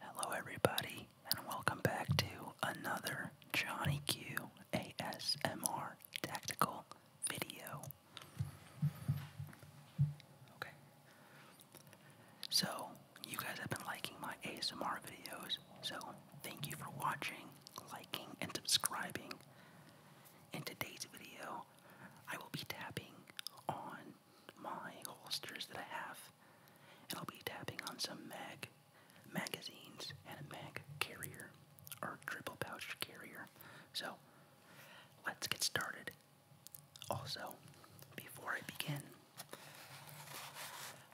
Hello, everybody, and welcome back to another Johnny Q ASMR tactical video. Okay. So, you guys have been liking my ASMR videos, so thank you for watching, liking, and subscribing. In today's video, I will be tapping on my holsters that I have and I'll be tapping on some mag magazines and a mag carrier or triple pouch carrier. So let's get started. Also, before I begin,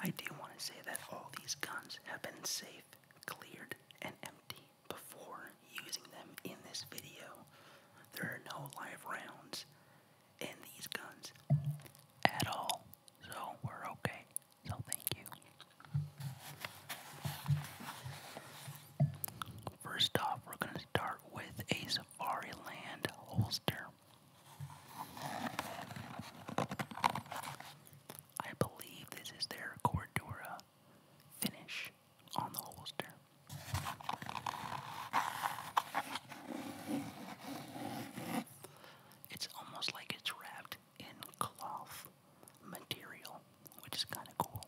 I do want to say that all these guns have been safe, cleared, and empty before using them in this video. There are no live rounds, in these guns at all. So we're okay. So thank you. First off, we're going to start with a Safari Land holster. I believe this is their Cordura finish on the holster. It's almost like it's wrapped in cloth material, which is kind of cool.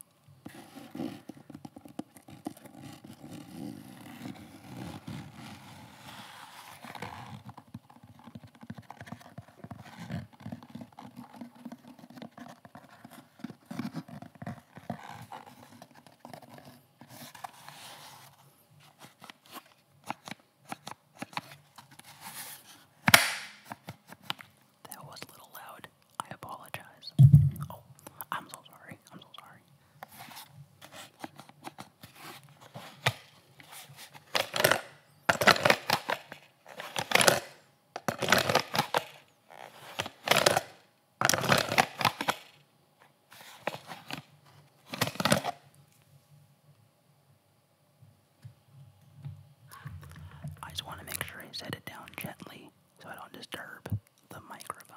That was a little loud. I apologize. Oh, I'm so sorry. I'm so sorry. I just want to make sure I set it down gently so I don't disturb the microphone.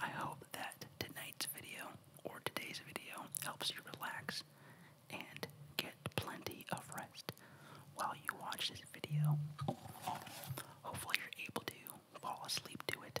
I hope that tonight's video or today's video helps you relax and get plenty of rest while you watch this video. Hopefully, you're able to fall asleep to it.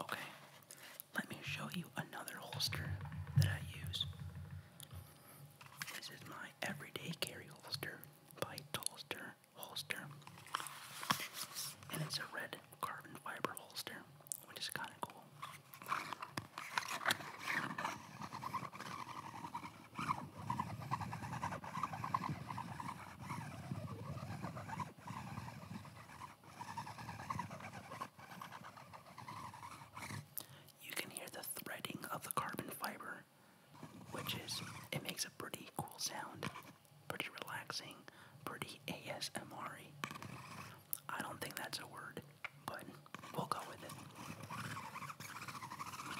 Okay, let me show you another holster that I use. This is my everyday carry holster by Tolster Holster. And it's a red carbon fiber holster, which is kind of cool. You can hear the threading of the carbon fiber, which is, it makes a pretty cool sound, pretty relaxing, pretty ASMR -y. I don't think that's a word, but we'll go with it.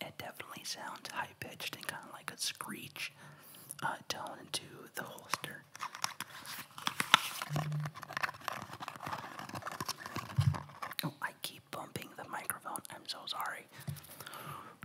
It definitely sounds high pitched and kind of like a screech uh, tone into the holster. Oh, I keep bumping the microphone. I'm so sorry.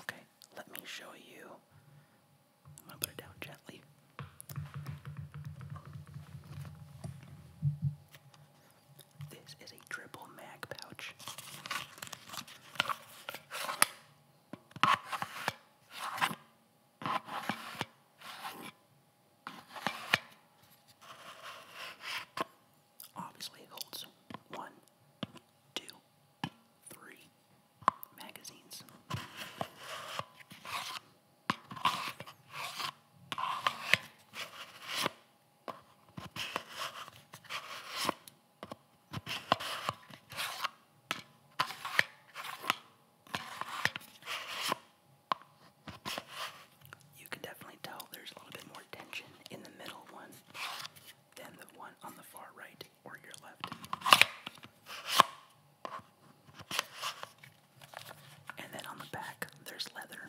Okay, let me show you. I'm gonna put it down gently. This is a triple mag pouch obviously it holds one, two, three magazines you can definitely tell there's a little bit more tension in the middle one than the one on the far right or your left. And then on the back, there's leather.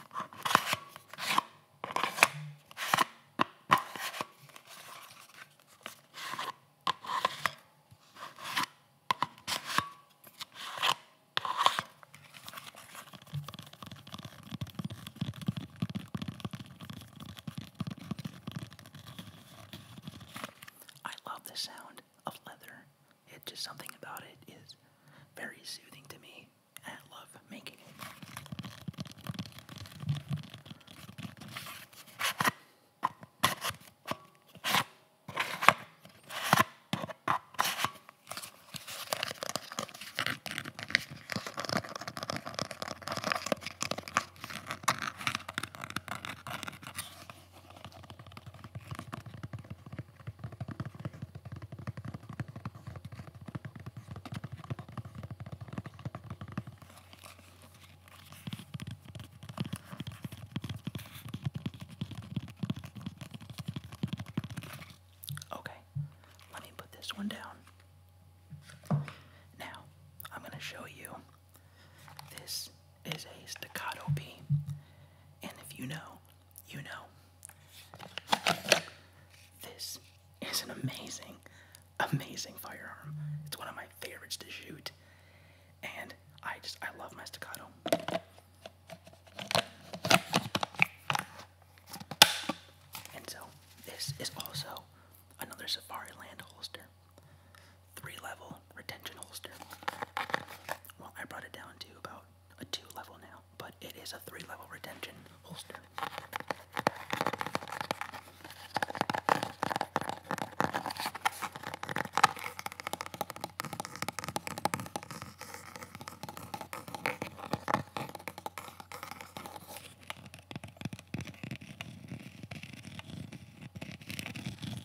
I love the sound of leather it just something about it is very soothing to me, and I love making it. Okay, let me put this one down. Now, I'm going to show you. This is a staccato B. And if you know, you know. This is an amazing, amazing firearm. It's one of my favorites to shoot. And I just, I love my staccato. And so, this is also another Safari Land holster. Three level retention holster. Well, I brought it down to about a two level now, but it is a three level retention holster.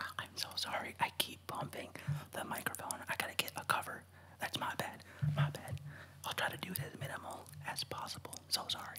Oh, I'm so sorry. I keep bumping the microphone. I gotta get a cover. That's my bad. My bad. I'll try to do it as minimal as possible. So sorry.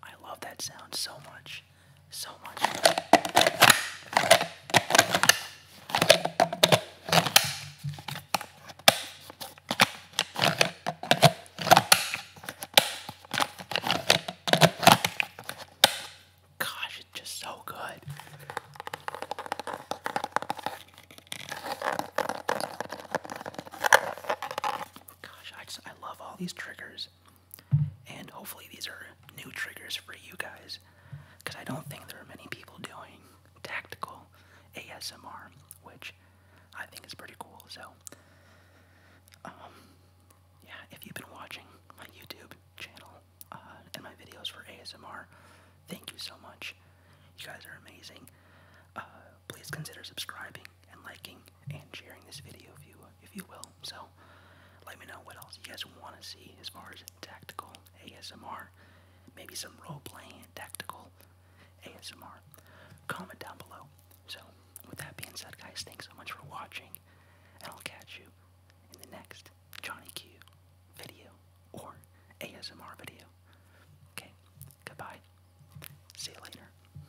I love that sound so much so much. Gosh, it's just so good. Gosh, I I love all these triggers. And hopefully, these are new triggers for you guys because I don't think there are many people doing tactical ASMR, which I think is pretty cool. So, um, yeah, if you've been watching my YouTube channel uh, and my videos for ASMR, thank you so much. You guys are amazing. Uh, please consider subscribing and liking and sharing this video if you if you will. So let me know what else you guys want to see as far as tactical ASMR, maybe some role-playing tactical ASMR. Comment down below. So with that being said, guys, thanks so much for watching, and I'll catch you in the next Johnny Q video or ASMR video. Okay, goodbye. See you later.